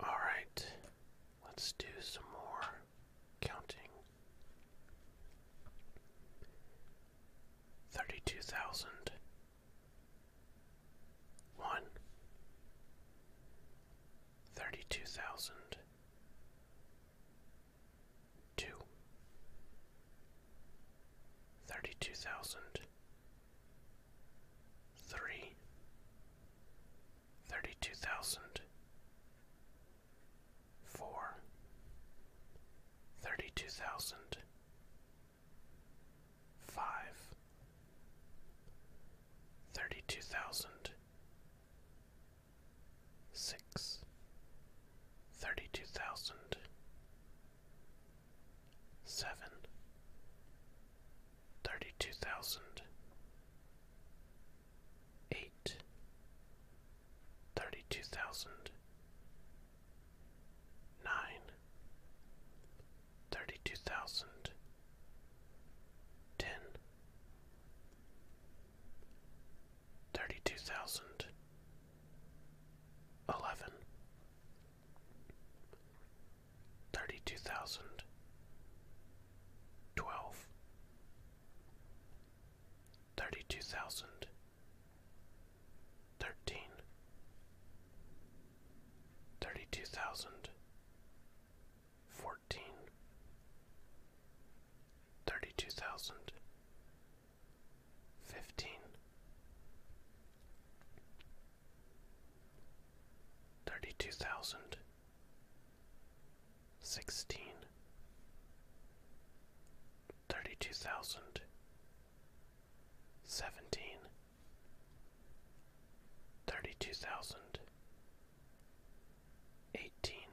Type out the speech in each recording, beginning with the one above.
All right, let's do some more counting. Thirty two thousand one, thirty two thousand two, thirty two thousand three, thirty-two thousand, four, thirty-two thousand, five, thirty-two thousand, six, thirty-two thousand seven, thirty-two thousand, eight, thirty-two thousand, nine, thirty-two thousand, ten, thirty-two thousand, eleven thirty-two thousand twelve thirty-two thousand thirteen thirty-two thousand fourteen thirty-two thousand fifteen thirty-two thousand sixteen thirty-two thousand seventeen thirty-two thousand eighteen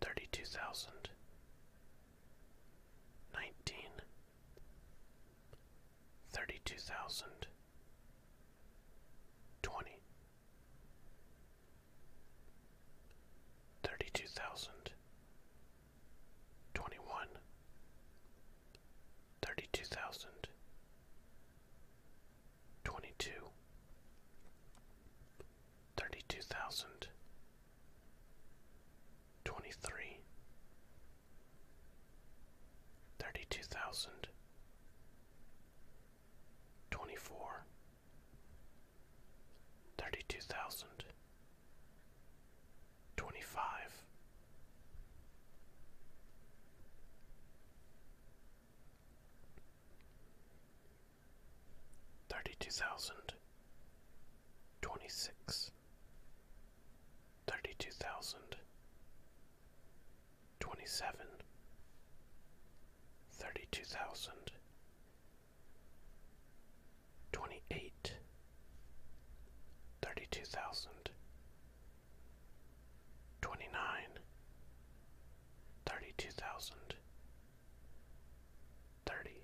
thirty-two thousand nineteen thirty-two thousand twenty thirty-two thousand twenty-one thirty-two thousand twenty-two thirty-two thousand twenty-three thirty-two thousand twenty-four thirty-two thousand twenty-five thirty-two thousand twenty-six thirty-two thousand, twenty-seven, thirty-two thousand, twenty-eight, thirty-two thousand, twenty-nine, thirty-two thousand, thirty.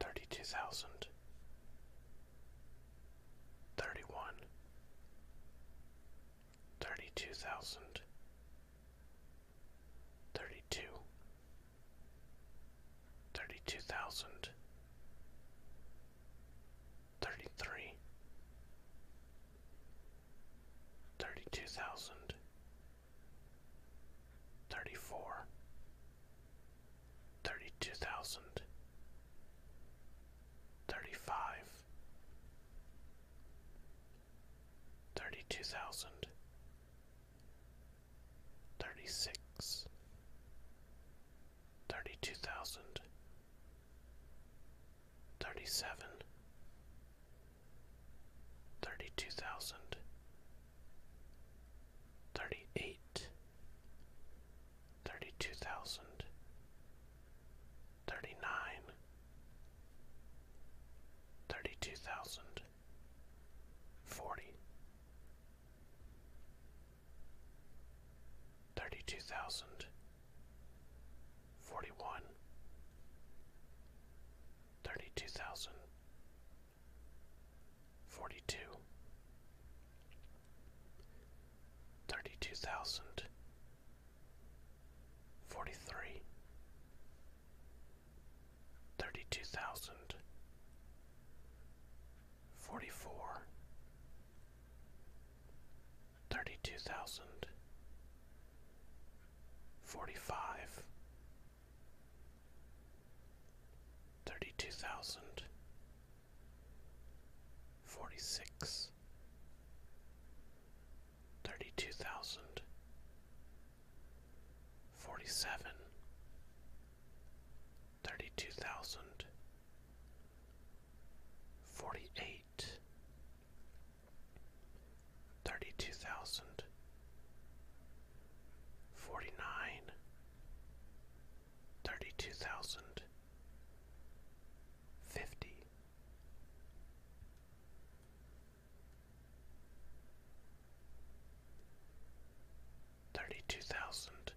Thirty-two thousand, thirty-one, thirty-two thousand, thirty-two, thirty-two thousand, thirty-three, thirty-two thousand, thirty-four, thirty-two thousand, thirty-five, thirty-two thousand, thirty-six, thirty-two thousand thirty-seven, thirty-two thousand, thirty-eight, thirty-two thousand, thirty-nine, thirty-two thousand, forty, thirty-two thousand. 41 32000 42 32000 43 32000 44 thirty-two thousand, forty-five, thirty-two thousand, forty-six, thirty-two thousand, forty-seven, thirty-two thousand, forty-eight thirty-two thousand forty-nine thirty-two thousand fifty thirty-two thousand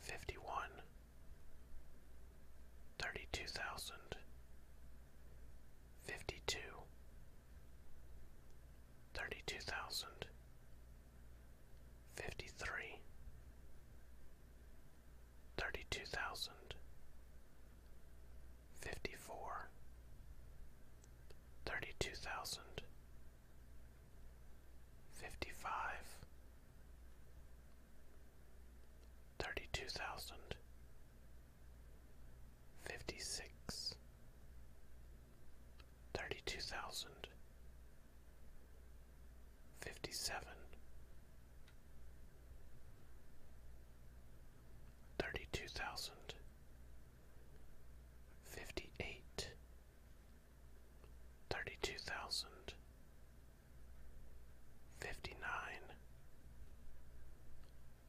fifty-one thirty-two thousand, fifty-two, thirty-two thousand, fifty-three, thirty-two thousand, fifty-four, thirty-two thousand, fifty-five thirty-two thousand fifty-six thirty-two thousand fifty-seven thirty-two thousand fifty-eight thirty-two thousand Fifty-nine. Sixty. Sixty-one. Sixty-two.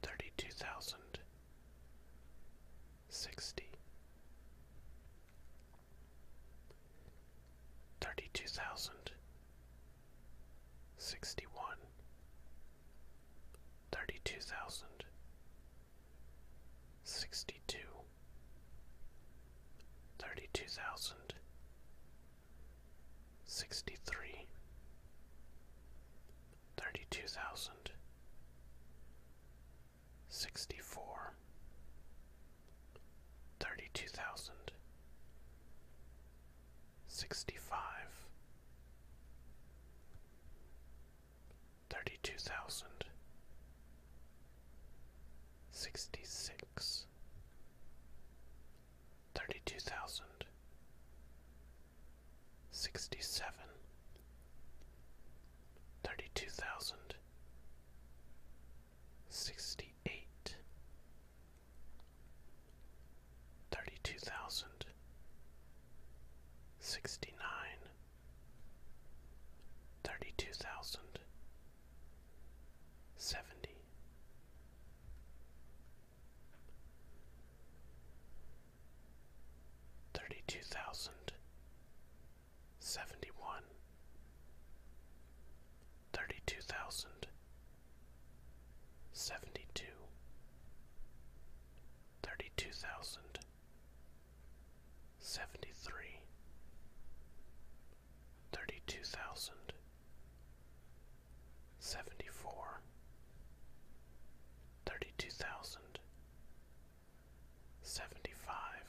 fifty nine, thirty two thousand, sixty, thirty two thousand, sixty one, thirty two thousand, sixty two, thirty two thousand sixty three, thirty two thousand, sixty four, thirty two thousand, sixty five, thirty two thousand, sixty six thirty-two thousand, sixty-seven, thirty-two thousand, sixty-eight, thirty-two thousand, sixty-nine, thirty-two thousand, seventy. Thirty-two thousand seventy-one, thirty-two thousand seventy-two, thirty-two thousand seventy-three, Thirty-two thousand seventy-four. Thirty-two thousand seventy-five.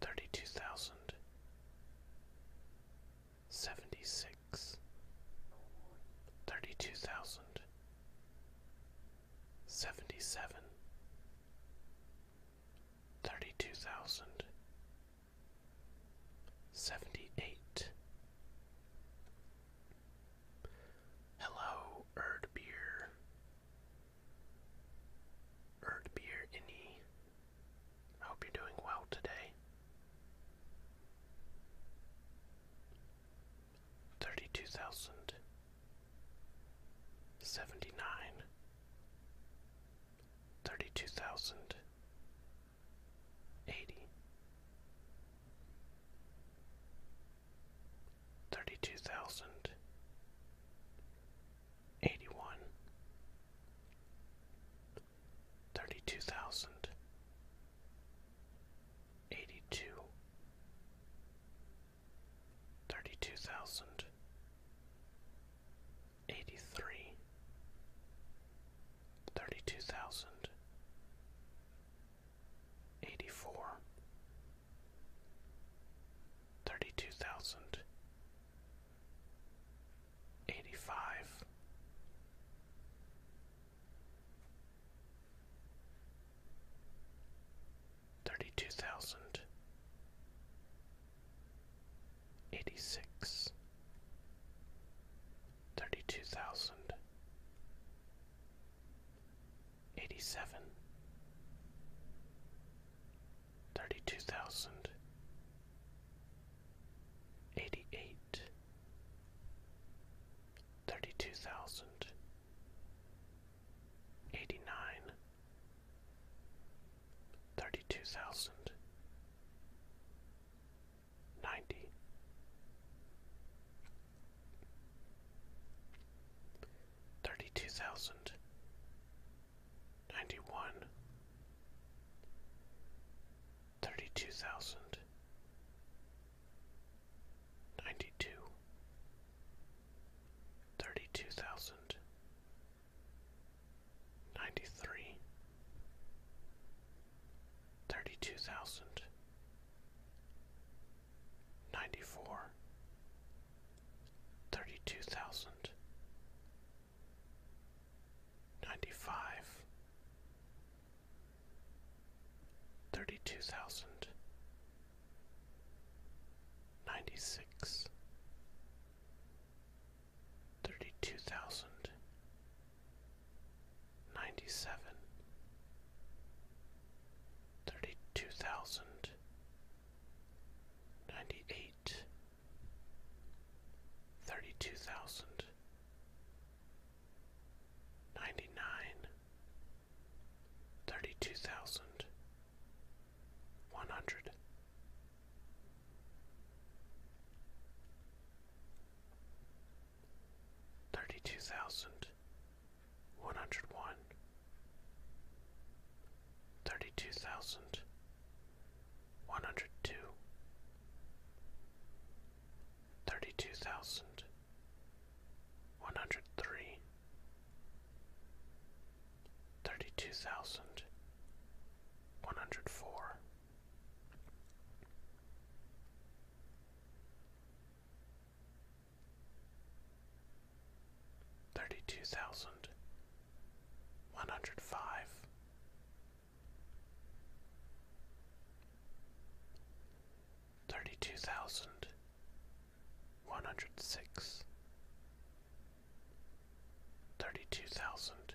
Thirty-two thousand seventy-six. Thirty-two thousand thirty-two thousand seventy-four thirty-two thousand seventy-five thirty-two thousand seventy-six thirty-two thousand seventy-seven Thirty-two thousand Seventy eight. Hello, Erdbeer. Erdbeer Innie. I hope you're doing well today. Thirty two thousand seventy nine thirty-two thousand eighty thirty-two thousand eighty-one thirty-two thousand eighty-two Thirty-two thousand eighty-three, thirty-two thousand, eighty-four, thirty-two thousand, eighty-five. Thirty two thousand eighty six, thirty two thousand, eighty seven, thirty two thousand, eighty eight, thirty two thousand, eighty nine, thirty two thousand ninety. Thirty two thousand ninety one, thirty two thousand ninety two, thirty two thousand Ninety-three, thirty-two thousand, ninety-four, thirty-two thousand, ninety-five, thirty-two thousand, ninety-six thirty-two thousand ninety-seven thirty-two thousand ninety-eight thirty-two thousand ninety-nine thirty-two thousand one hundred Thirty-two thousand one hundred one, thirty-two thousand one hundred two, thirty-two thousand one hundred three, thirty-two thousand one hundred four. Thirty-two thousand one hundred five, thirty-two thousand one hundred six, thirty-two thousand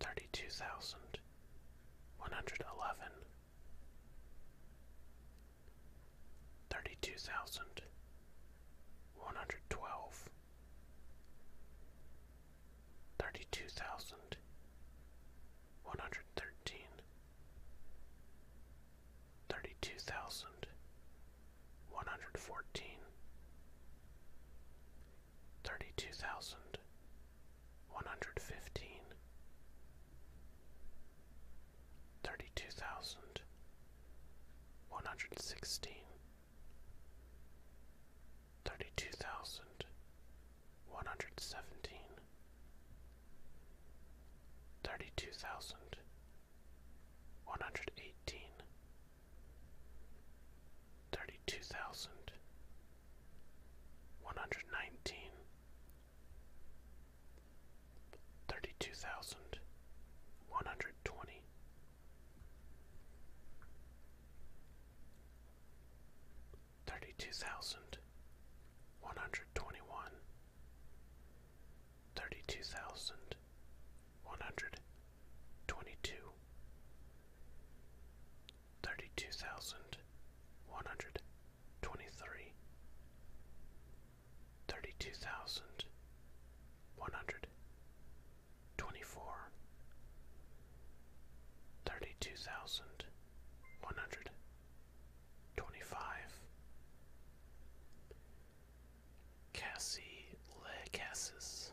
thirty-two thousand one hundred eleven, thirty-two thousand one hundred twelve, thirty-two thousand one hundred thirteen, thirty-two thousand one hundred fourteen, thirty-two thousand one hundred one hundred fifteen, thirty two thousand, one hundred sixteen, thirty two thousand, one hundred seventeen, thirty two thousand, one hundred eighteen, thirty two thousand. 119 32000 120 32000 121 32000 122 thirty-two thousand one hundred twenty-three, thirty-two thousand one hundred twenty-four, thirty-two thousand one hundred twenty-five. Cassie Cassis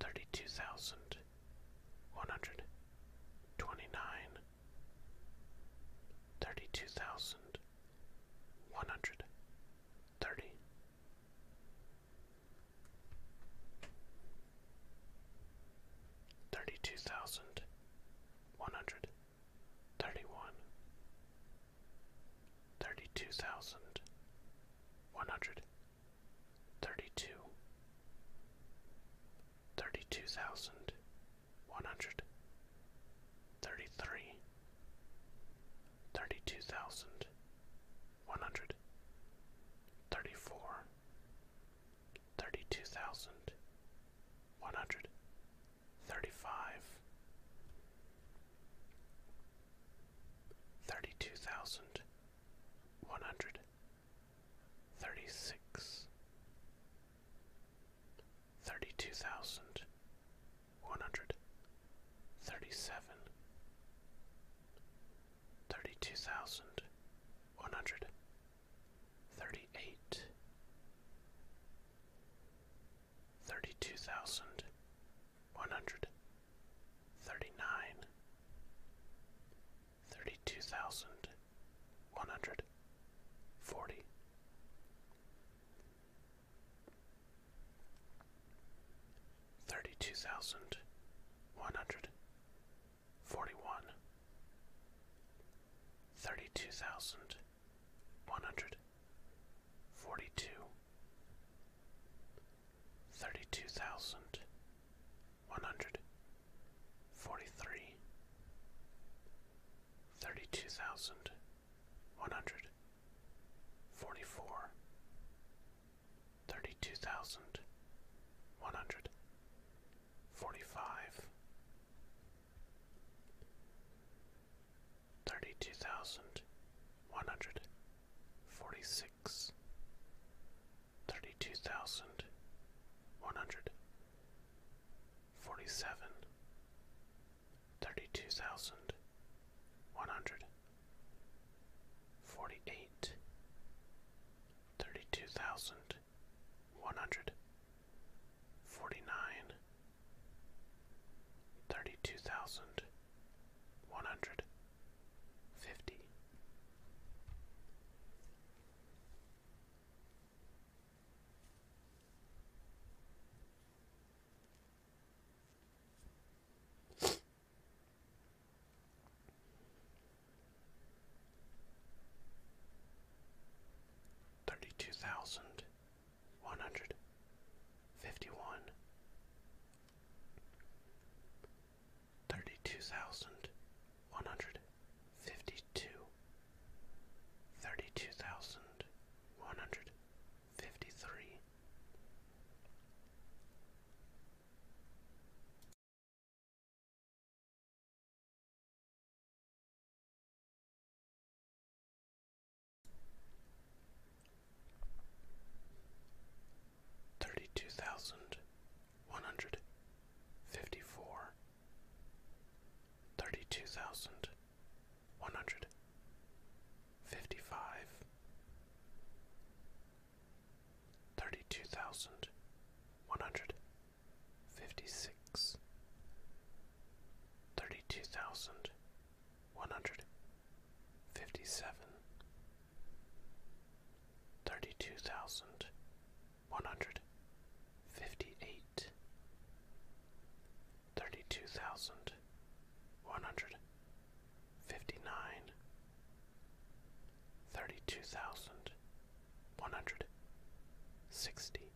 thirty-two thousand one hundred twenty-nine, thirty-two thousand one hundred thirty. Thirty-two thousand one hundred thirty-one, thirty-two thousand one hundred Thirty-two. Thirty-two thirty-two, thirty-two thousand one hundred, thirty-three, thirty-two thousand one hundred, thirty-four, thirty-two thousand one hundred, thirty-five, thirty-two thousand one hundred. Thirty-six. Thirty-two hundred. Thirty-seven. hundred. Thirty-eight. one hundred. Thirty-nine thirty-two thousand one hundred forty. Thirty-two thousand one hundred forty-one, thirty-two thousand one hundred forty-two, thirty-two thousand one hundred forty three thirty two thousand one hundred forty four thirty two thousand one hundred forty five thirty two thousand one hundred forty six six thirty two thousand one hundred forty seven thirty two thousand one hundred forty eight thirty two thousand one hundred forty nine thirty two thousand one hundred fifty. Thirty-two thousand one hundred fifty-one thirty-two thousand one hundred fifty-two, thirty-two thousand one hundred fifty-three thirty-two thousand one hundred fifty-four, thirty-two thousand one hundred fifty-five, thirty-two thousand one hundred fifty-six, thirty-two thousand one hundred fifty-seven, thirty-two thousand one hundred fifty eight thirty two thousand one hundred fifty nine thirty two thousand one hundred sixty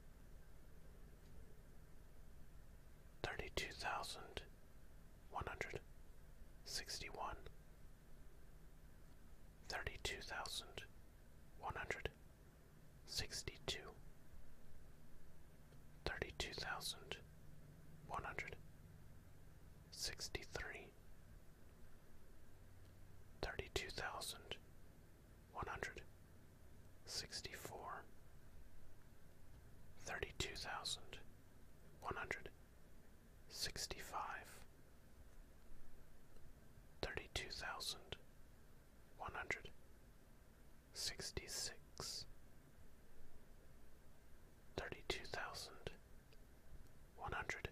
thirty two thousand one hundred sixty one thirty-two thousand one hundred sixty-two, thirty-two thousand one hundred sixty-three, thirty-two thousand one hundred sixty-four, thirty-two thousand one hundred Sixty-five. sixty five, thirty two thousand one hundred sixty six, thirty two thousand one hundred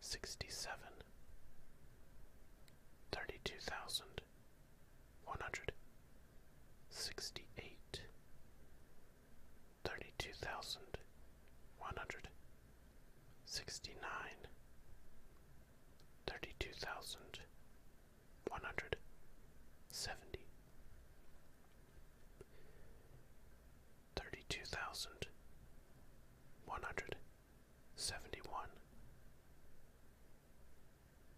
sixty seven, thirty two thousand one hundred sixty eight. Thirty two thousand one hundred sixty-nine, thirty-two thousand, one hundred, seventy, thirty-two thousand, one hundred, seventy-one,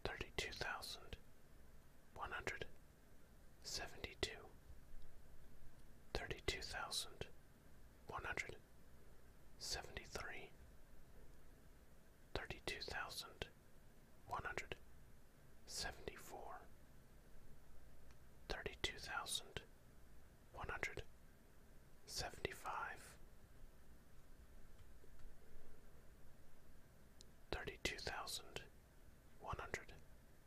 thirty-two thousand, one hundred, seventy-two, thirty-two thousand. One hundred seventy-three. Thirty-two one hundred seventy three thirty two thousand one hundred seventy four thirty two thousand one hundred seventy five thirty two thousand one hundred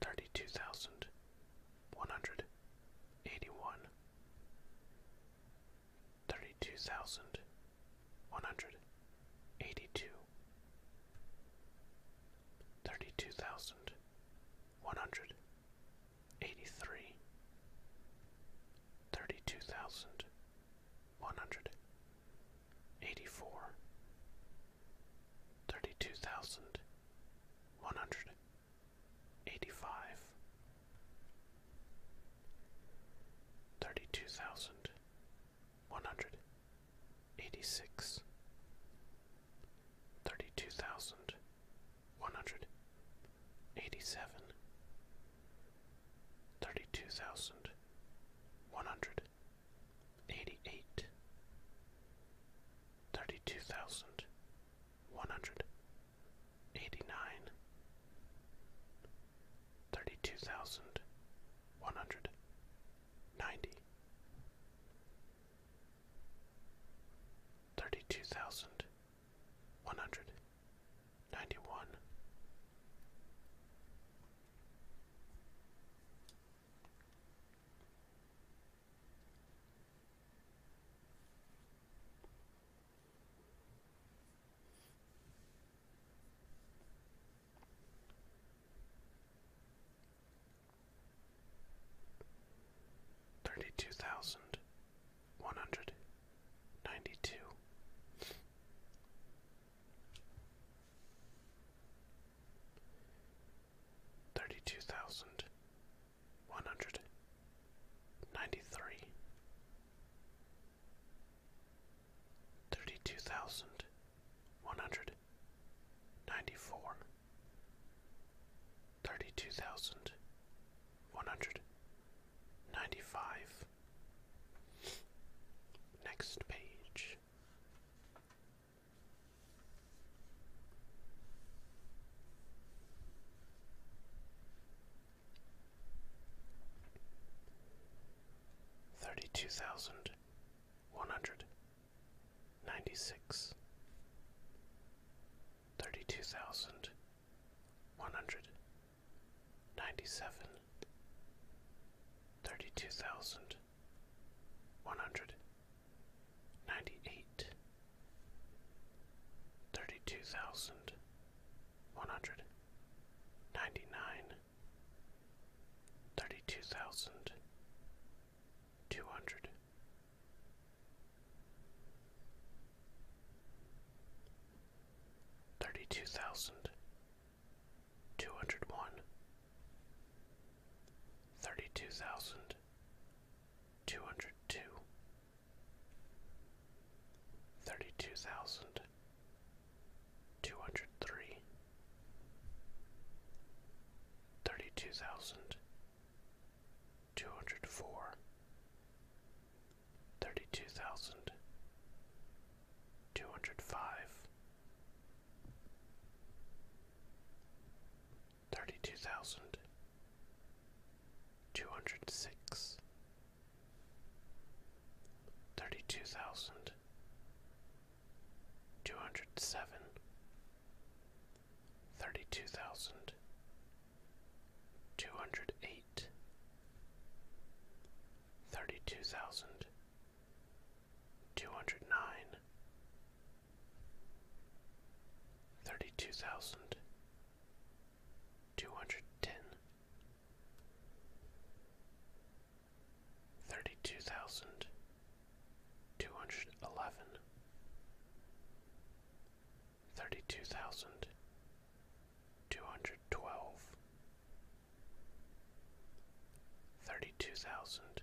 thirty-two thousand one hundred eighty-one, thirty-two thousand one hundred eighty-two, thirty-two thousand one hundred eighty-three, thirty-two thousand one hundred eighty-four thirty-two thousand one hundred eighty-five, thirty-two thousand one hundred eighty-six, thirty-two thousand one hundred eighty-seven, thirty-two thousand one hundred eighty-eight, thirty-two thousand, one hundred, eighty-nine, thirty-two thousand, one hundred, ninety, thirty-two thousand, one hundred, ninety-one. Thirty two thousand one hundred ninety two thirty-two thousand one hundred ninety-three, thirty-two thousand one hundred ninety-four, thirty-two thousand one hundred ninety-five. Next page. Thirty two thousand one hundred ninety six, thirty two thousand one hundred ninety seven, thirty two thousand one hundred ninety eight thirty two thousand one hundred ninety nine thirty two thousand two hundred Thirty two thousand two hundred one, thirty-two thousand two hundred two, thirty-two thousand two hundred three, thirty-two thousand two hundred four, thirty-two thousand two hundred five thirty two thousand two hundred six thirty two thousand two hundred seven thirty two thousand two hundred eight Thirty two thousand two hundred nine, thirty two thousand, two hundred ten, thirty two thousand, two hundred eleven, thirty two thousand, two hundred twelve. Thirty two thousand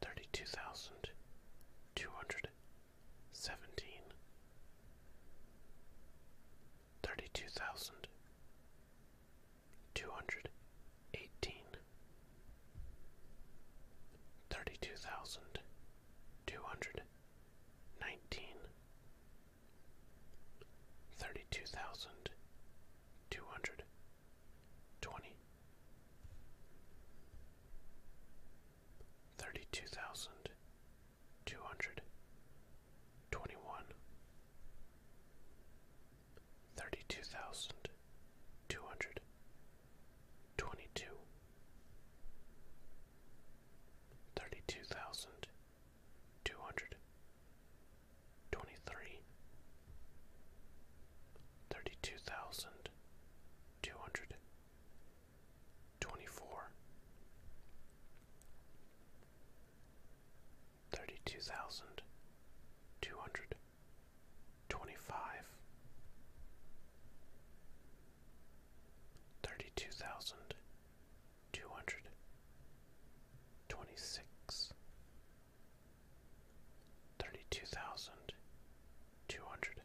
thirty-two thousand two hundred seventeen, thirty-two thousand two hundred eighteen, thirty-two thousand two hundred nineteen, thirty-two thousand two hundred twenty, thirty two thousand two hundred twenty one, thirty two thousand two hundred twenty two, thirty two thousand two hundred twenty three thirty-two thousand two hundred twenty-four, thirty-two thousand two hundred twenty-five, thirty-two thousand two hundred twenty-six thirty-two thousand two hundred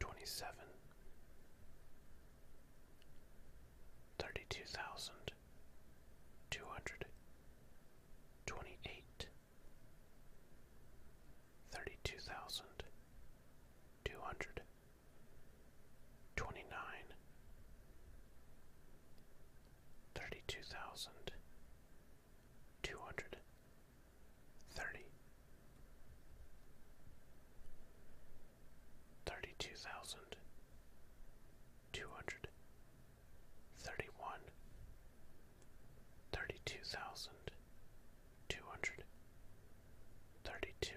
twenty-seven, thirty-two thousand two hundred twenty-eight, thirty-two thousand two hundred twenty-nine, thirty-two thousand two hundred thirty thirty two thousand two hundred thirty one thirty two thousand two hundred thirty two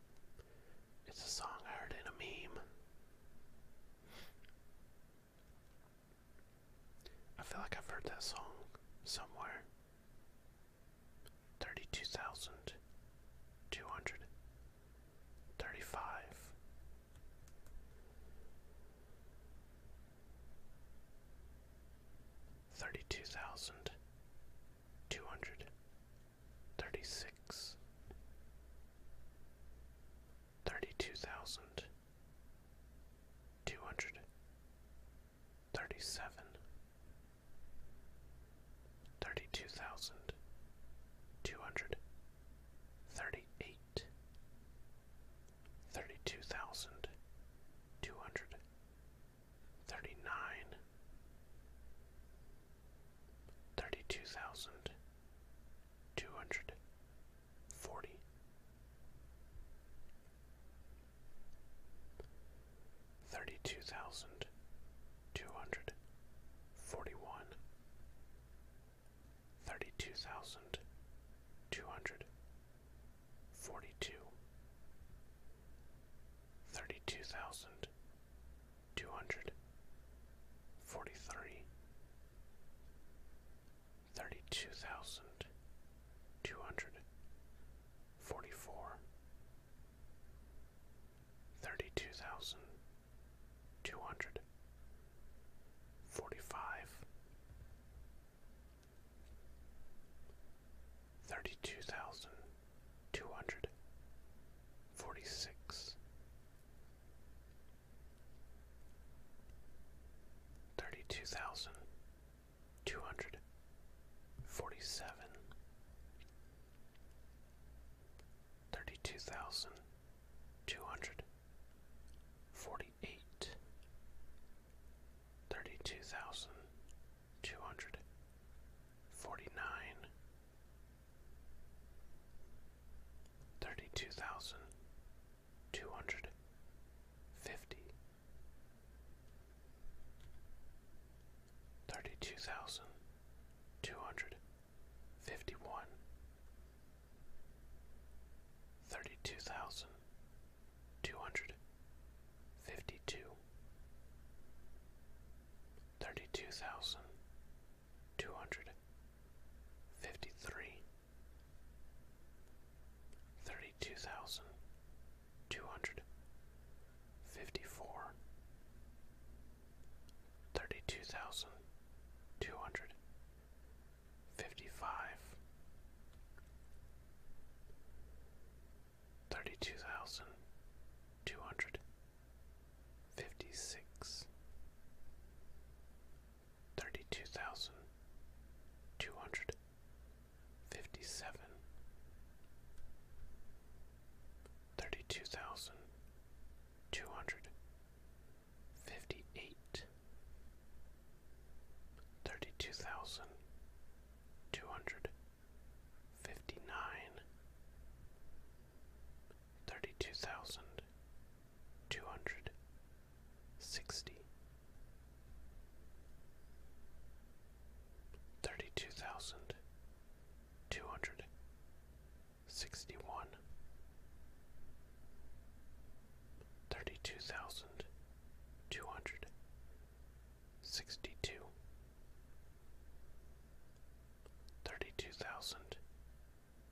It's a song I heard in a meme. I feel like I've heard that song somewhere. 32,235. Thirty-two thousand Two hundred thousand. Two hundred thousand. Two hundred two hundred thirty six thirty two thousand two hundred thirty seven thirty two thousand two hundred thirty eight thirty two thousand two hundred thirty-nine, thirty-two thousand, two hundred, forty, thirty-two thousand, two hundred, forty-one, thirty-two thousand, two hundred, forty-two thirty-two thousand two hundred forty-three, thirty-two thousand two hundred forty-four, thirty-two thousand two hundred forty-five thirty-two thousand two hundred forty-six, thirty-two thousand two hundred forty-seven, thirty-two thousand two hundred forty-eight, thirty-two thousand two hundred forty nine thirty two thousand two hundred fifty thirty two thousand two hundred fifty one thirty two thousand two hundred fifty two thirty-two thousand two hundred fifty-three, thirty-two thousand two hundred fifty-four, thirty-two thousand two hundred fifty-five thirty-two thousand two hundred fifty-six, thirty-two thousand two hundred fifty-seven, thirty-two thousand two hundred fifty-eight, thirty-two thousand two hundred fifty nine, thirty two thousand two hundred sixty, thirty two thousand two hundred sixty one. Thirty two thousand two hundred sixty two, thirty two thousand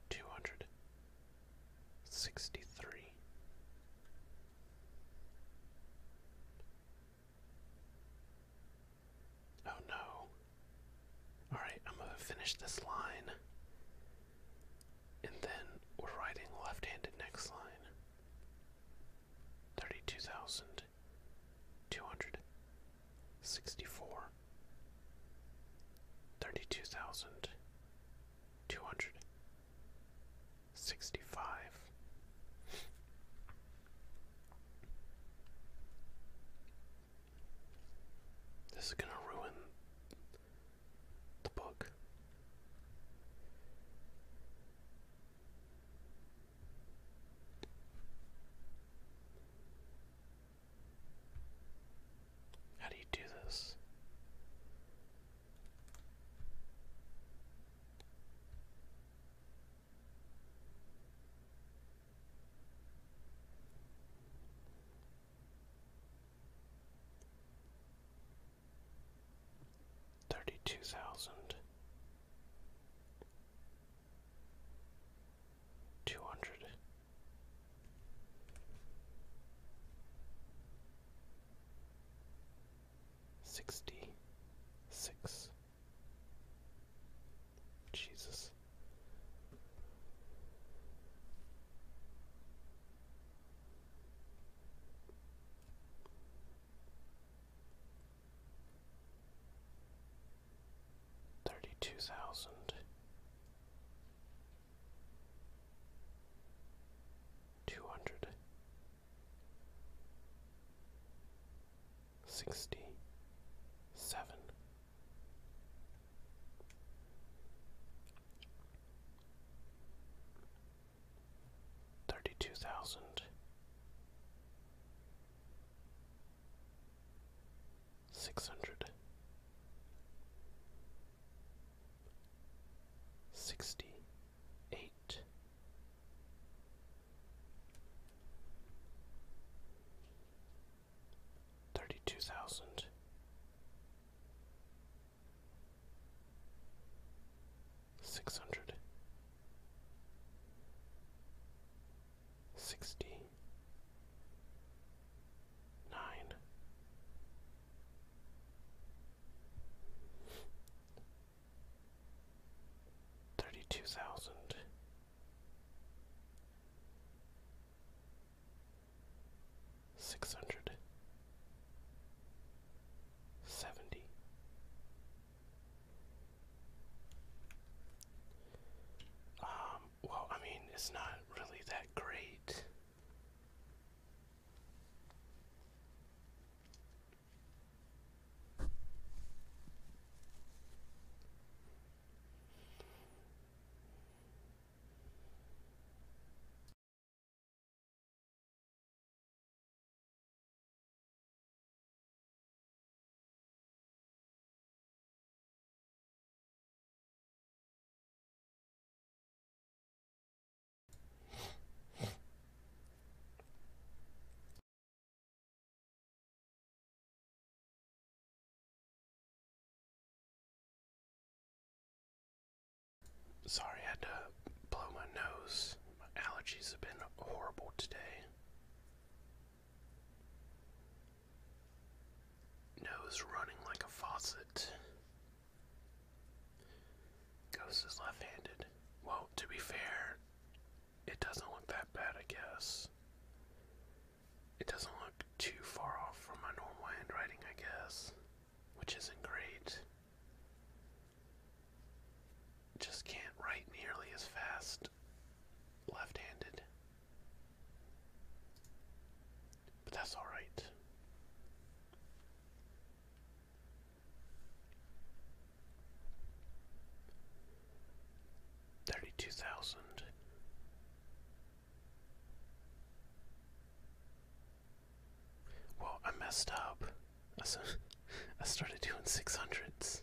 two hundred sixty three Oh no. Alright, I'm gonna finish this line. And then we're writing left handed next line. Thirty two thousand thousand two hundred sixty four thirty two thousand two hundred sixty five This is gonna ruin the book. How do you do this? Thirty two thousand two hundred. Jesus thirty two thousand two hundred sixty seven thirty two thousand six hundred sixty eight thirty two thousand six hundred sixty nine thirty two thousand six hundred seventy um, well, I mean, it's not really that great. Sorry, I had to blow my nose. allergies have been horrible today. Nose running like a faucet. Ghost is left handed. Well, to be fair, it doesn't look that bad, I guess. It doesn't look too far off from my normal handwriting, I guess, which isn't great. Just can't write nearly as fast left handed. But that's alright. Thirty two thousand. Well, I messed up. I, started doing six hundreds.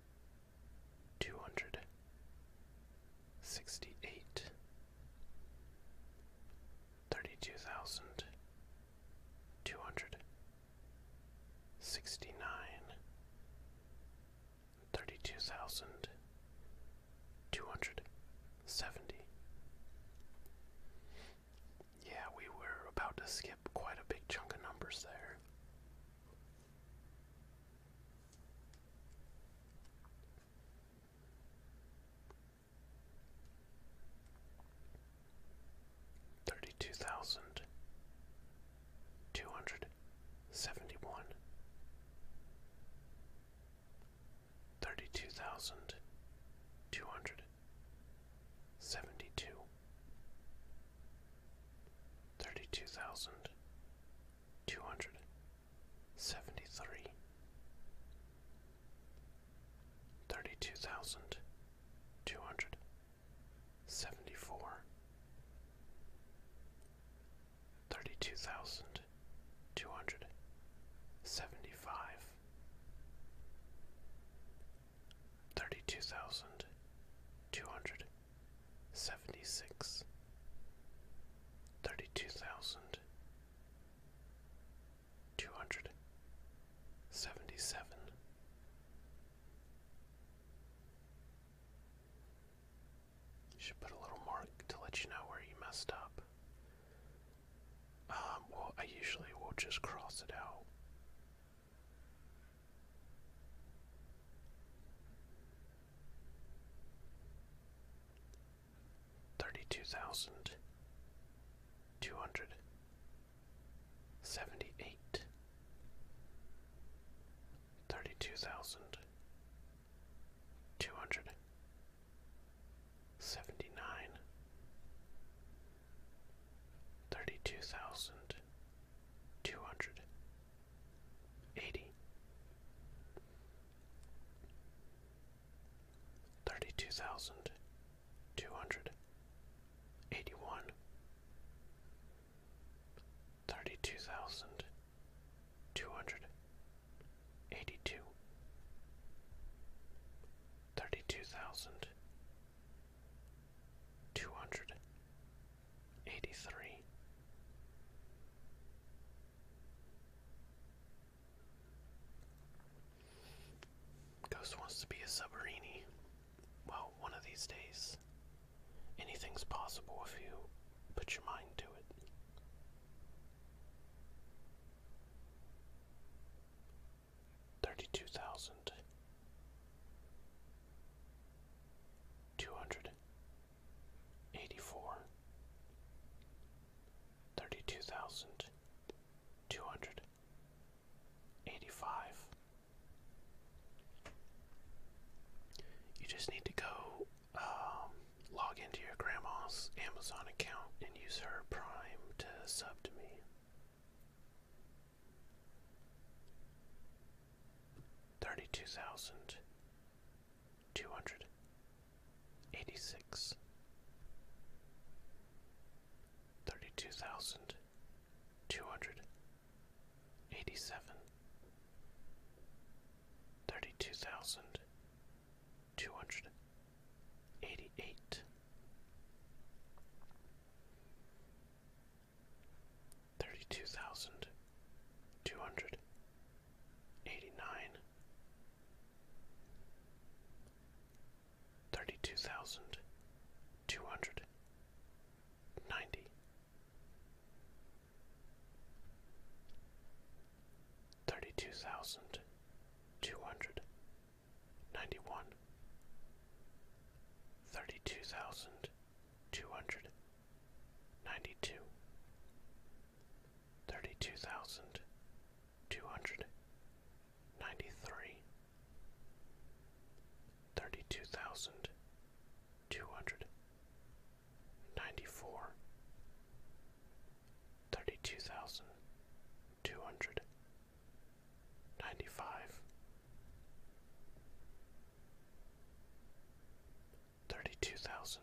two hundred sixty eight thirty two thousand two hundred sixty nine thirty two thousand two hundred seventy yeah, we were about to skip quite a big chunk of numbers there. Thirty two thousand two hundred seventy one, thirty two thousand two hundred seventy two thirty-two thousand two hundred seventy-three, thirty-two thousand two hundred seventy-four, thirty-two thousand two hundred seventy-five thirty-two thousand two hundred seventy-six, thirty-two thousand two hundred seventy-seven, should put a little mark to let you know where you messed up. Um, well, I usually will just cross it out Thirty-two thousand two hundred seventy-eight, thirty-two thousand two hundred seventy-nine, thirty-two thousand two hundred eighty thirty two thousand two hundred eighty one thirty two thousand two hundred eighty two thirty two thousand two hundred eighty-three, Ghost wants to be a submarini. Well, one of these days, anything's possible if you put your mind to it. Thirty-two thousand two hundred eighty four thirty two thousand two hundred eighty five. You just need to go um, log into your grandma's Amazon account and use her Prime to sub to me thirty-two thousand two hundred eighty-six, thirty-two thousand two hundred eighty-seven, thirty-two thousand two hundred eighty-eight thirty-two thousand two hundred eighty-nine, thirty-two thousand two hundred ninety, thirty-two thousand two hundred ninety-one, thirty-two thousand two hundred ninety two thirty two thousand two hundred ninety three thirty two thousand two hundred ninety four thirty two thousand two hundred ninety five thirty-two thousand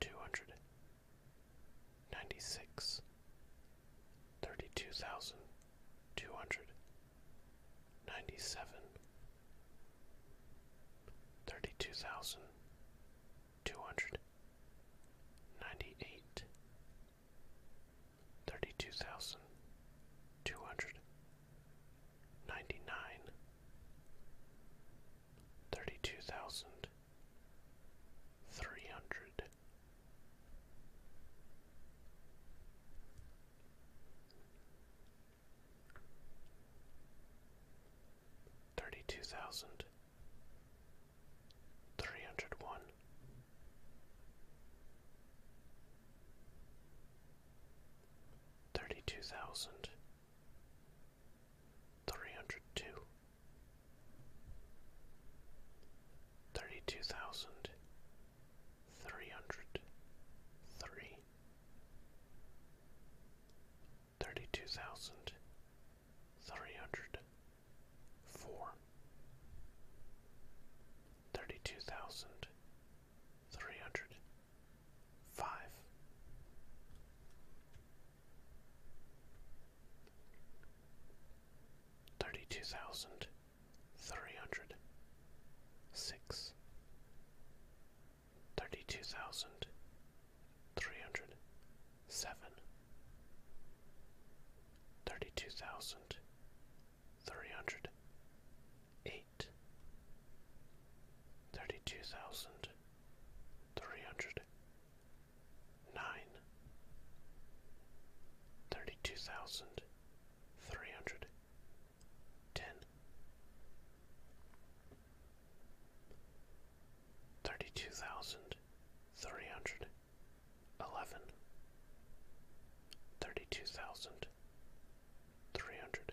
two hundred ninety-six, thirty-two thousand two hundred ninety-seven, thirty-two thousand two hundred ninety-eight, thirty-two thousand two hundred hundred. Thirty-two ninety nine, thirty two thousand, three hundred, thirty two thousand, three hundred one thirty-two thousand three hundred two, thirty-two thousand three hundred three, thirty-two thousand three hundred four, thirty-two thousand three hundred five thirty two thousand three hundred six thirty two thousand three hundred seven thirty two thousand three hundred eight thirty two thousand three hundred nine thirty two thousand three hundred ten thirty two thousand three hundred eleven thirty two thousand three hundred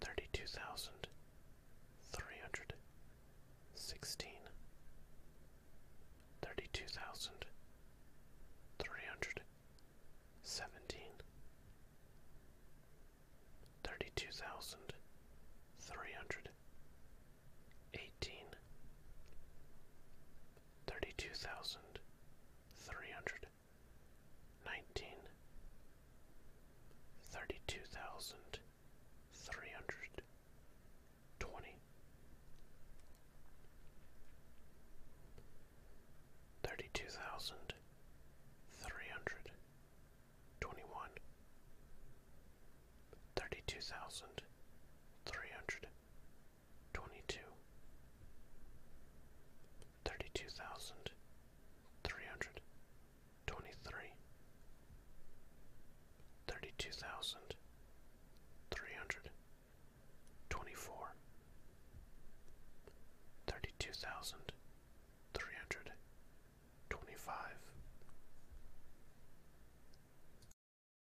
thirty-two thousand three hundred sixteen, thirty-two thousand three hundred seventeen, thirty-two thousand three hundred eighteen, thirty-two thousand three hundred nineteen thirty two thousand three hundred twenty thirty two thousand three hundred twenty one thirty two thousand three hundred Twenty-two. Thirty-two twenty-two, thirty-two thousand three hundred twenty-three, thirty-two thousand three hundred twenty-four, thirty-two thousand three hundred twenty-five.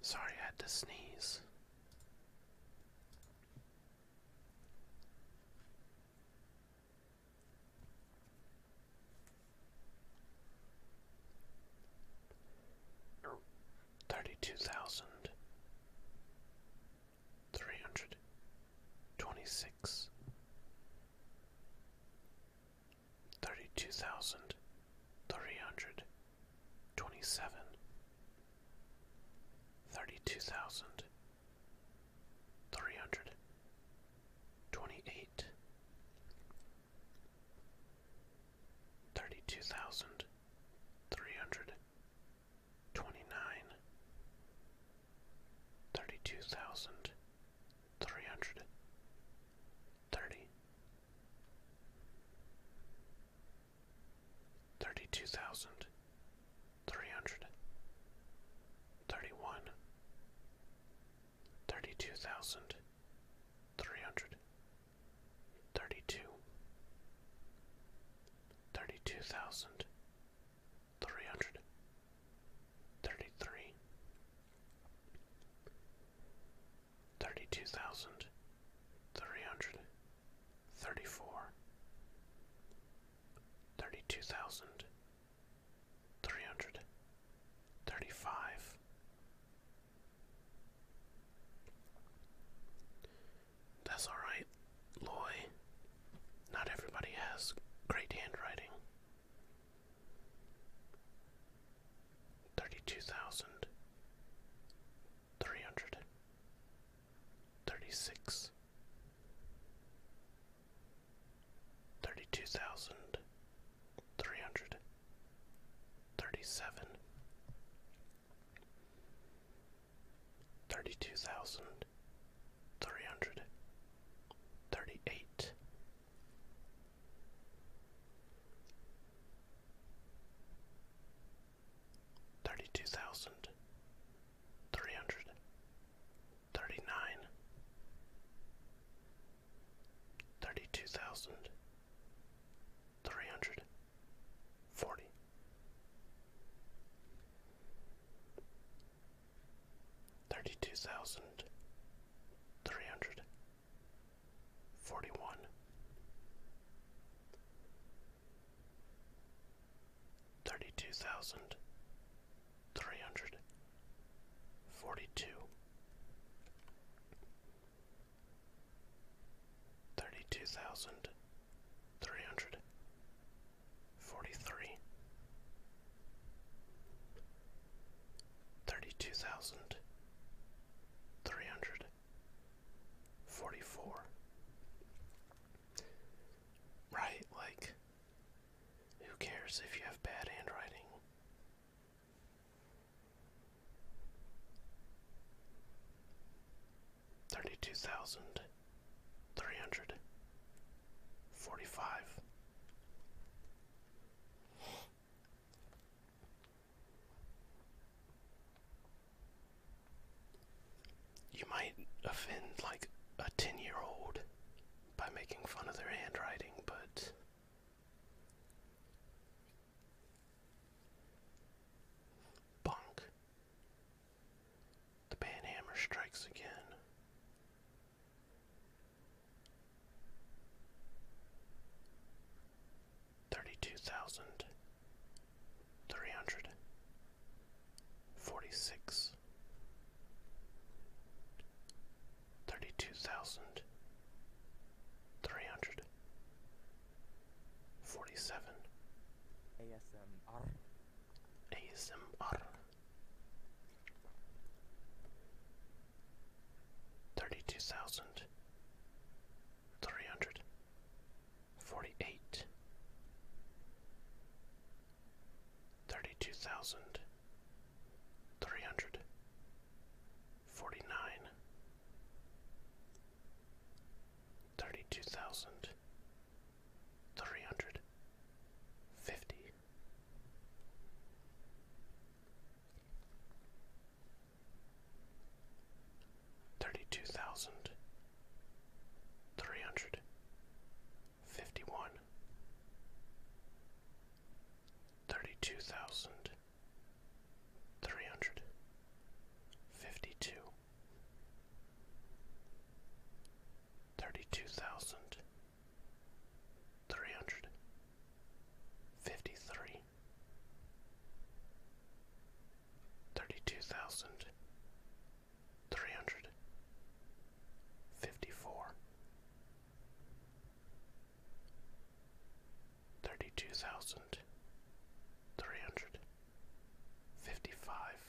Sorry, I had to sneeze. Thirty-two thousand three hundred twenty-six thirty-two thousand three hundred twenty-seven, thirty-two thousand three hundred twenty-eight, thirty-two thousand three hundred twenty-nine, thirty-two thousand three hundred thirty thirty two thousand three hundred thirty one thirty two thousand three hundred thirty two thirty two thousand three hundred thirty-three, thirty-two thousand three hundred thirty-four, thirty-two thousand three hundred thirty-five, that's all right, Loy. Not everybody has great handwriting three hundred. Thirty-six. thirty-two thousand three hundred thirty-six thirty-two thousand three hundred thirty-seven Thirty-two thousand three hundred thirty-eight Thirty-two thousand three hundred thirty-nine, thirty-two thousand three hundred forty, thirty-two thousand three hundred forty-one thirty-two thousand three hundred forty-two thirty-two thousand three hundred forty-three thirty-two thousand three hundred forty-four. Right, like, who cares if you have bad handwriting? Thirty-two thousand three hundred forty-five. You might offend like a 10 year old by making fun of their handwriting, but bonk. The panhammer strikes again. Thirty-two thousand three hundred forty-six, thirty-two thousand three hundred forty-seven. ASMR. ASMR thirty-two thousand three hundred forty-eight thirty-two thousand three hundred forty-nine thirty-two thousand three hundred fifty thirty-two thousand three hundred fifty-one, thirty-two thousand three hundred fifty-two, thirty-two thousand three hundred fifty three thirty two thousand three hundred fifty four thirty two thousand three hundred fifty five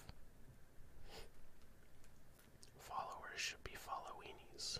Followers should be followeenies.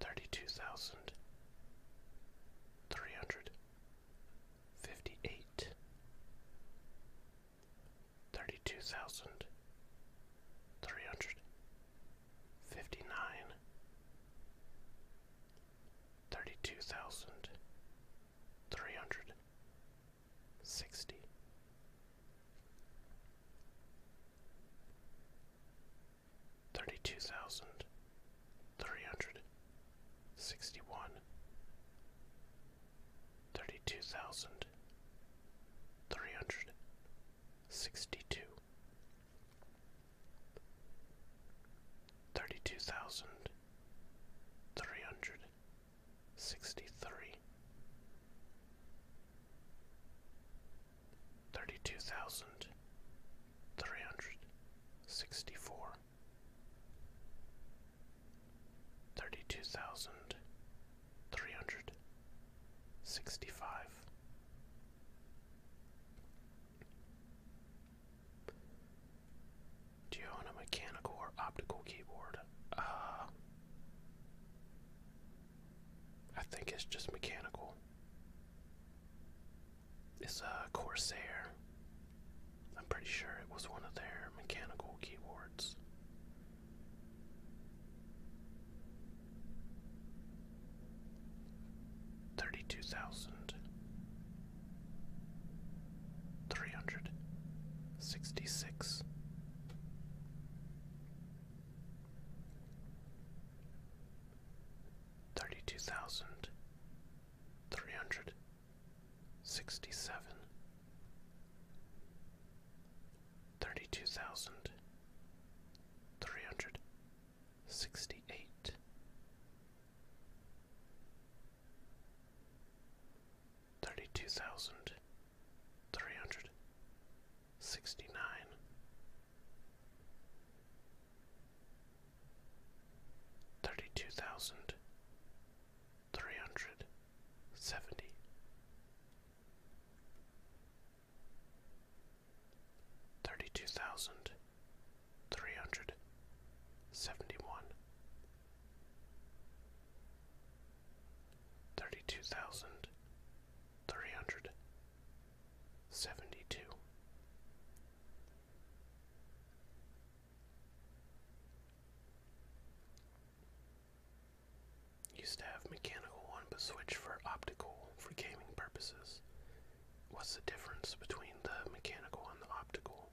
thirty-two thousand three hundred fifty-eight, thirty-two thousand three hundred fifty-nine, thirty-two thousand three hundred sixty thirty-two thousand three hundred sixty-one, thirty-two thousand three hundred sixty-two, thirty-two thousand three hundred sixty-three thirty-two thousand three hundred sixty-four, thirty-two thousand three hundred sixty-five, do you own a mechanical or optical keyboard? Uh, I think it's just mechanical. It's a Corsair. I'm pretty sure it was one of their mechanical keyboards. Thirty-two thousand three hundred sixty-six thirty two thousand three hundred sixty seven thirty two thousand three hundred sixty eight Thirty two thousand three hundred sixty nine. Thirty two thousand three hundred seventy thirty two thousand three hundred seventy one thirty two thousand three hundred seventy two. Used to have mechanical one but switched for optical for gaming purposes. What's the difference between the mechanical and the optical?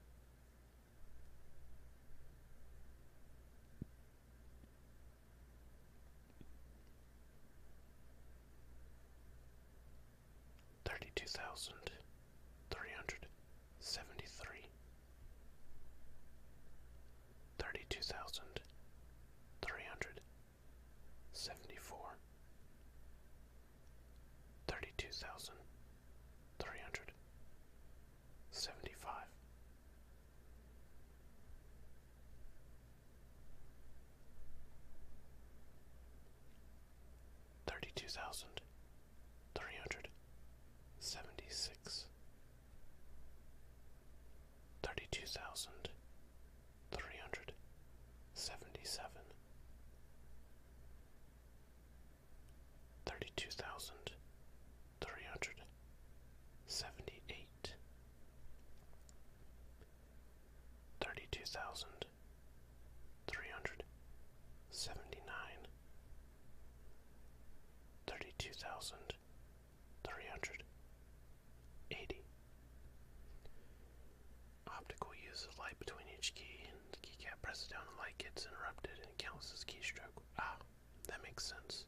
thirty two thousand three hundred seventy three, thirty two thousand three hundred seventy four, thirty two thousand three hundred seventy five. Thirty-two thousand three hundred seventy-six, thirty-two thousand three hundred seventy-seven, thirty-two thousand three hundred seventy-eight thirty-two thousand three hundred seventy-nine, thirty-two thousand three hundred eighty. Optical uses light between each key, and keycap presses down and light gets interrupted and counts as keystroke. Ah, that makes sense.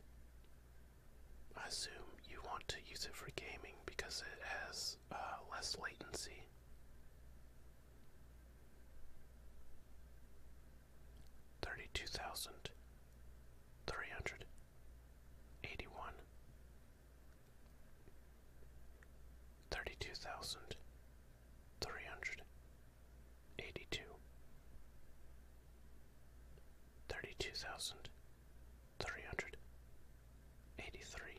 I assume you want to use it for gaming because it has uh, less latency. Thirty-two thousand three hundred eighty-one, thirty-two thousand three hundred eighty-two, thirty-two thousand Three hundred eighty-three.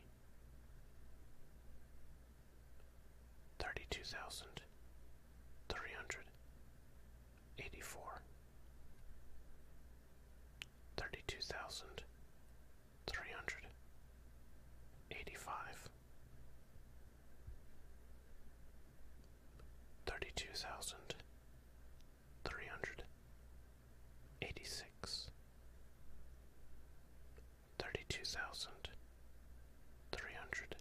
three hundred eighty three thirty two thousand three hundred eighty four thirty two thousand three hundred eighty five thirty two thousand three hundred eighty six thirty two thousand three hundred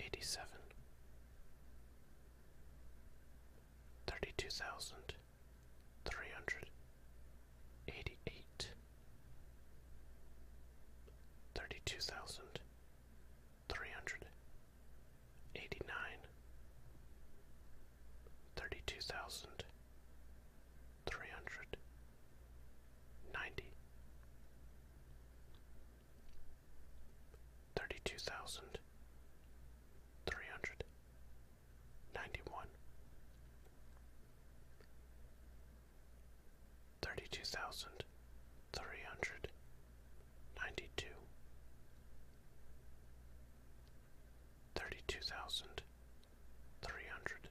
eighty seven thirty two thousand three hundred eighty eight thirty two thousand three hundred eighty nine thirty two thousand three hundred ninety thirty two thousand three hundred ninety one Thirty two thousand three hundred ninety two, thirty two thousand three hundred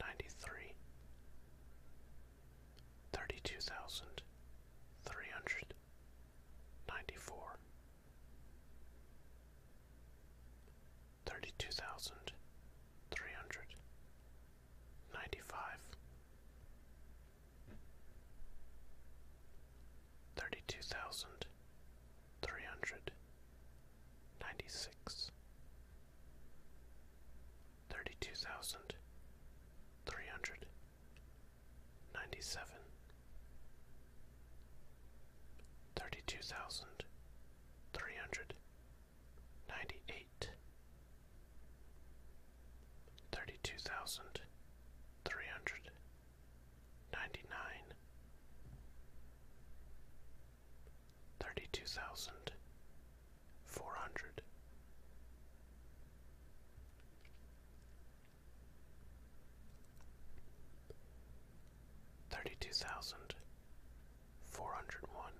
ninety three, thirty two thousand three hundred ninety four. Thirty two thousand three hundred ninety five, thirty-two thousand three hundred ninety-six, thirty-two thousand three hundred ninety-seven, thirty-two thousand three hundred ninety-eight. Thirty-two thousand three hundred ninety nine, thirty two thousand four hundred. Thirty two thousand four hundred one,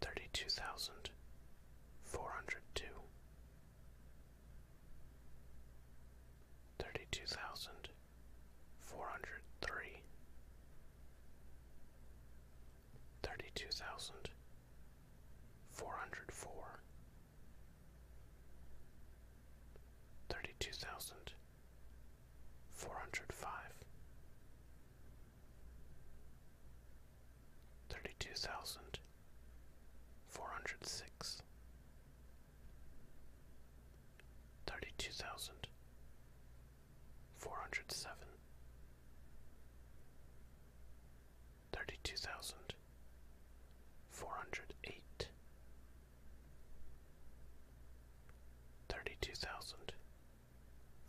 thirty two thousand four hundred two, thirty-two thousand four hundred three, thirty-two thousand four hundred four, thirty-two thousand four hundred five thirty-two thousand four hundred six, thirty-two thousand four hundred seven, thirty-two thousand four hundred eight, thirty-two thousand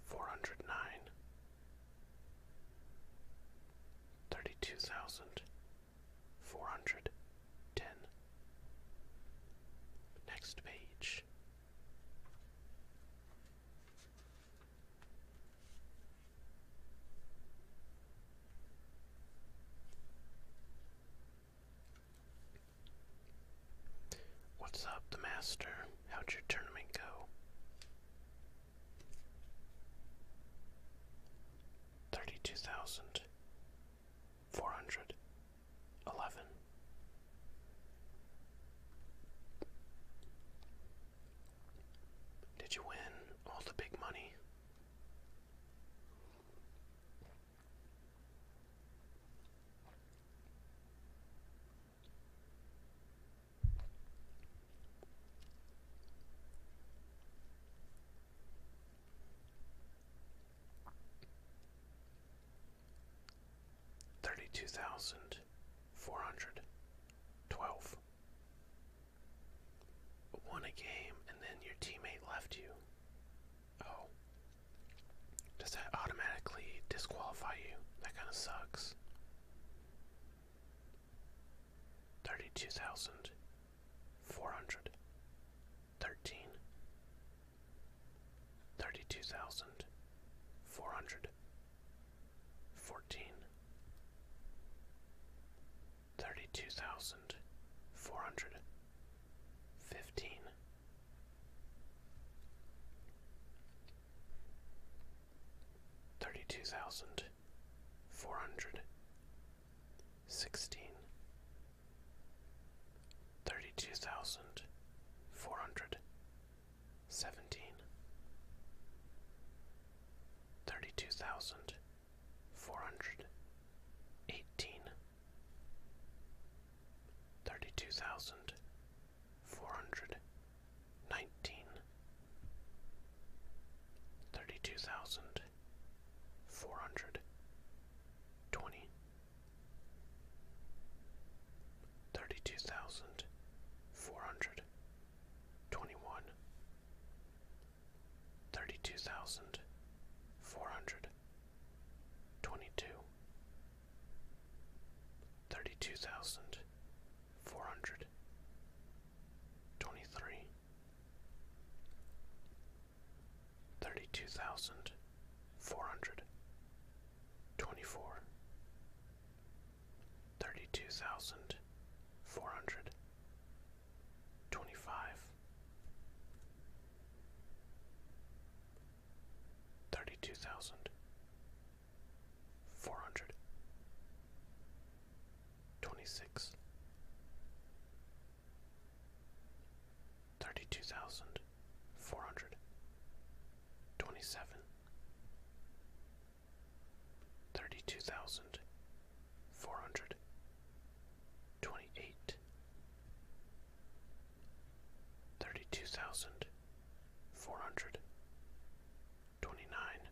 four hundred nine thirty-two thousand four hundred ten. Next page. What's up, the master? How'd your tournament go? Thirty-two thousand four hundred eleven Did you win all the big money? Thirty-two thousand four hundred twelve. Won a game and then your teammate left you. Oh. Does that automatically disqualify you? That kind of sucks four hundred. thirty-two thousand four hundred thirteen thirty-two thousand four hundred fourteen thirty-two thousand four hundred fifteen thirty-two thousand Four hundred sixteen. Thirty-two four hundred sixteen thirty two thousand four hundred seventeen thirty two thousand four hundred eighteen thirty two thousand four hundred nineteen, thirty-two thousand, four hundred, twenty, thirty-two thousand, four hundred, twenty-one, thirty-two thousand, four hundred, twenty-two, thirty-two thousand, four hundred, twenty-three thirty-two thousand four hundred twenty-four thirty-two thousand four hundred twenty-five thirty-two thousand four hundred Twenty-six. Thirty-two twenty-six, thirty-two thousand four hundred twenty-seven, thirty-two thousand four hundred twenty-eight, thirty-two thousand four hundred twenty-nine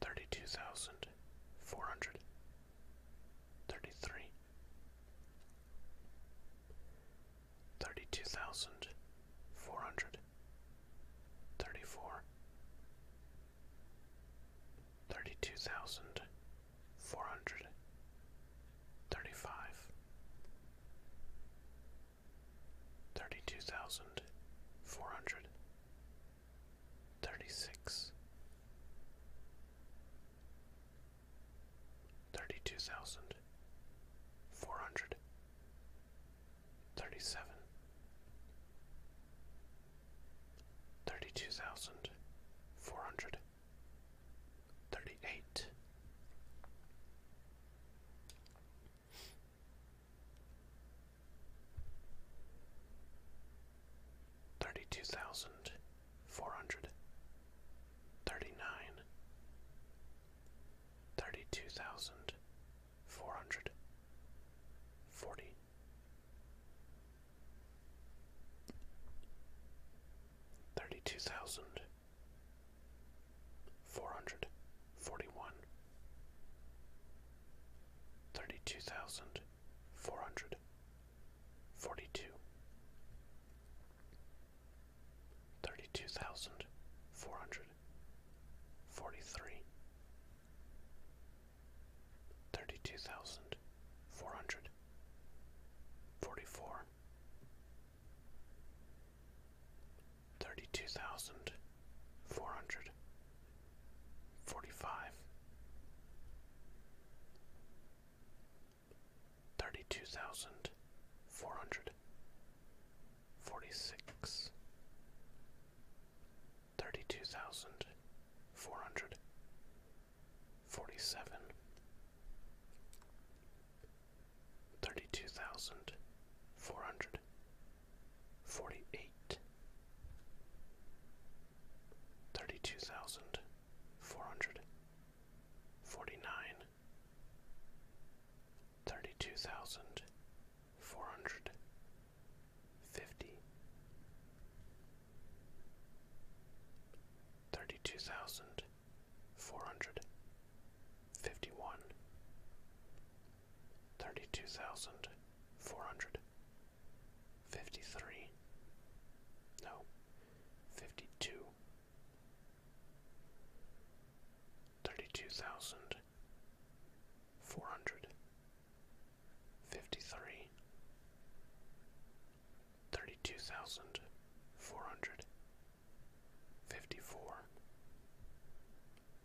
thirty-two thousand four hundred thirty-three, thirty-two thousand four hundred thirty-four, thirty-two thousand four hundred thirty-five thirty-two thousand four hundred thirty-six thirty-two thousand four hundred thirty-seven thirty-two thousand four hundred thirty-eight Thirty-two thousand four hundred thirty-nine thirty-two thousand four hundred forty thirty-two thousand four hundred forty one thirty two thousand four hundred forty two thirty two thousand four hundred forty three thirty two thousand four hundred forty four thirty-two thousand four hundred forty-five, thirty-two thousand four hundred forty-six, thirty-two thousand four hundred forty-seven. Thirty-two thousand, four hundred forty-eight. Thirty-two thousand, four hundred forty-nine. Thirty-two thousand, four hundred forty-nine, thirty-two thousand four hundred fifty. Thirty-two thousand four hundred hundred. Fifty-three. no, fifty two, thirty two thousand four hundred, fifty three, thirty two thousand four hundred fifty-four,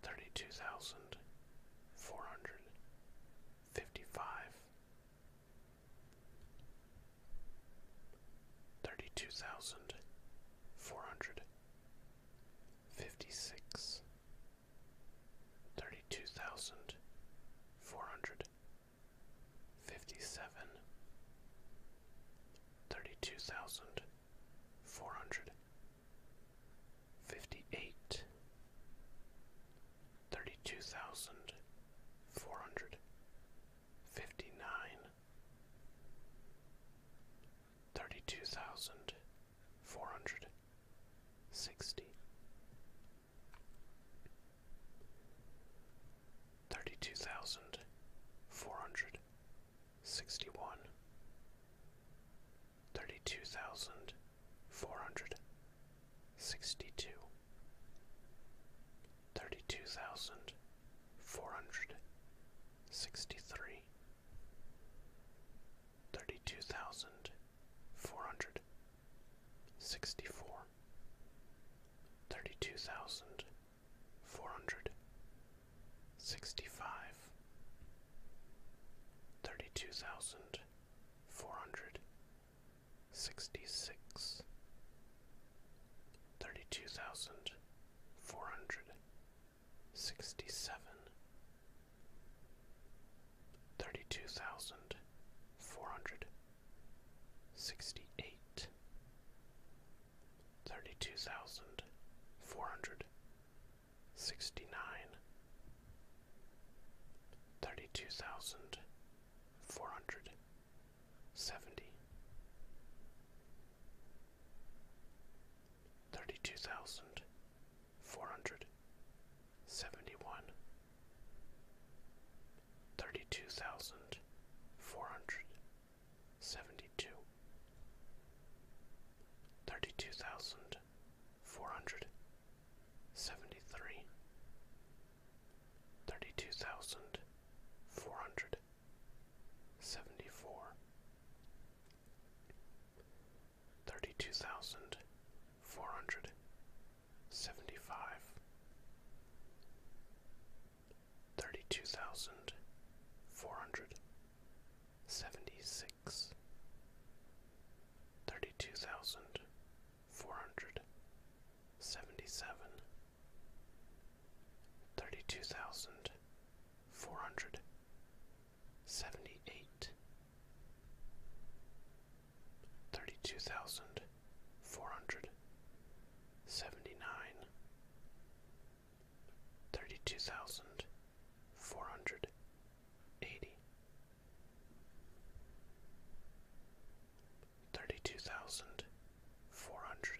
thirty-two thousand, four hundred, fifty-five, thirty-two thousand, four hundred, fifty-six, thirty-two thousand, four hundred, fifty-seven, thirty-two thousand, four hundred Fifty-eight. Thirty-two fifty-eight, thirty-two thousand four hundred fifty-nine, thirty-two thousand four hundred sixty, thirty-two thousand four hundred Sixty-one. Thirty-two sixty one, thirty two thousand four hundred sixty two, thirty two thousand four hundred sixty three, thirty two thousand four hundred sixty four, thirty two thousand four hundred sixty five thirty two thousand four hundred sixty six thirty two thousand four hundred sixty seven thirty two thousand four hundred sixty eight thirty-two thousand four hundred sixty-nine, thirty-two thousand four hundred seventy, thirty-two thousand four hundred seventy-one, thirty-two thousand four hundred Seventy-two. Thirty-two seventy-two, thirty-two thousand four hundred seventy-three, thirty-two thousand four hundred seventy-four, thirty-two thousand four hundred seventy-five. Thirty-two thousand four hundred Seventy-six. Thirty-two hundred. Seventy-seven. hundred. Seventy-eight. four hundred. Seventy-nine thirty-two thousand four hundred eighty, thirty-two thousand four hundred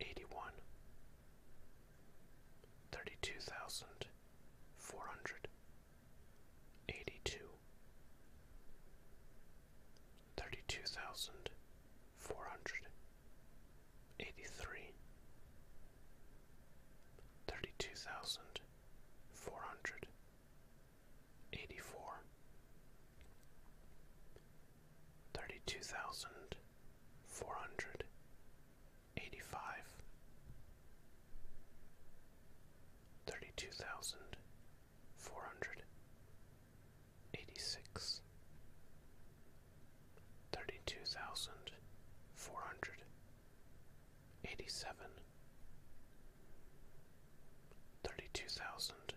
eighty-one, thirty-two thousand four hundred eighty-two, thirty-two thousand four hundred eighty-three thirty-two thousand four hundred eighty-four, thirty-two thousand four hundred eighty-five, thirty-two thousand four hundred eighty-six. Thirty-two thousand, four hundred eighty-seven. Thirty-two thousand,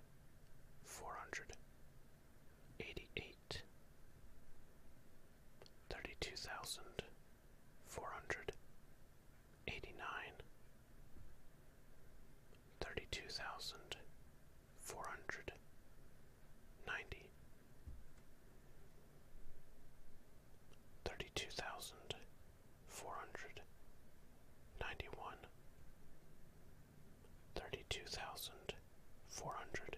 four hundred eighty-eight. Thirty-two thousand, four hundred eighty-nine. Thirty-two thousand, four hundred ninety thirty-two thousand four hundred ninety-one, thirty-two thousand four hundred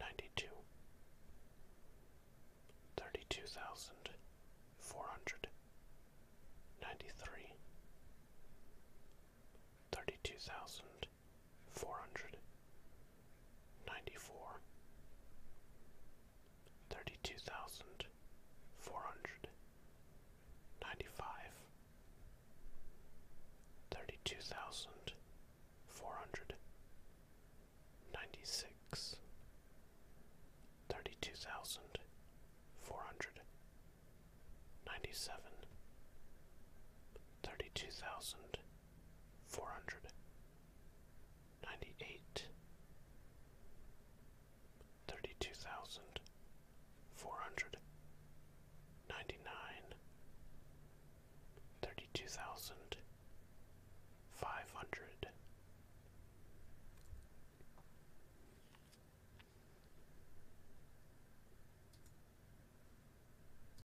ninety-two, thirty-two thousand four hundred ninety-three, thirty-two thousand thousand four hundred ninety four thirty two thousand four hundred ninety five thirty two thousand four hundred ninety six thirty two thousand four hundred ninety seven thirty two thousand four hundred ninety eight thirty two thousand four hundred ninety nine thirty two thousand five hundred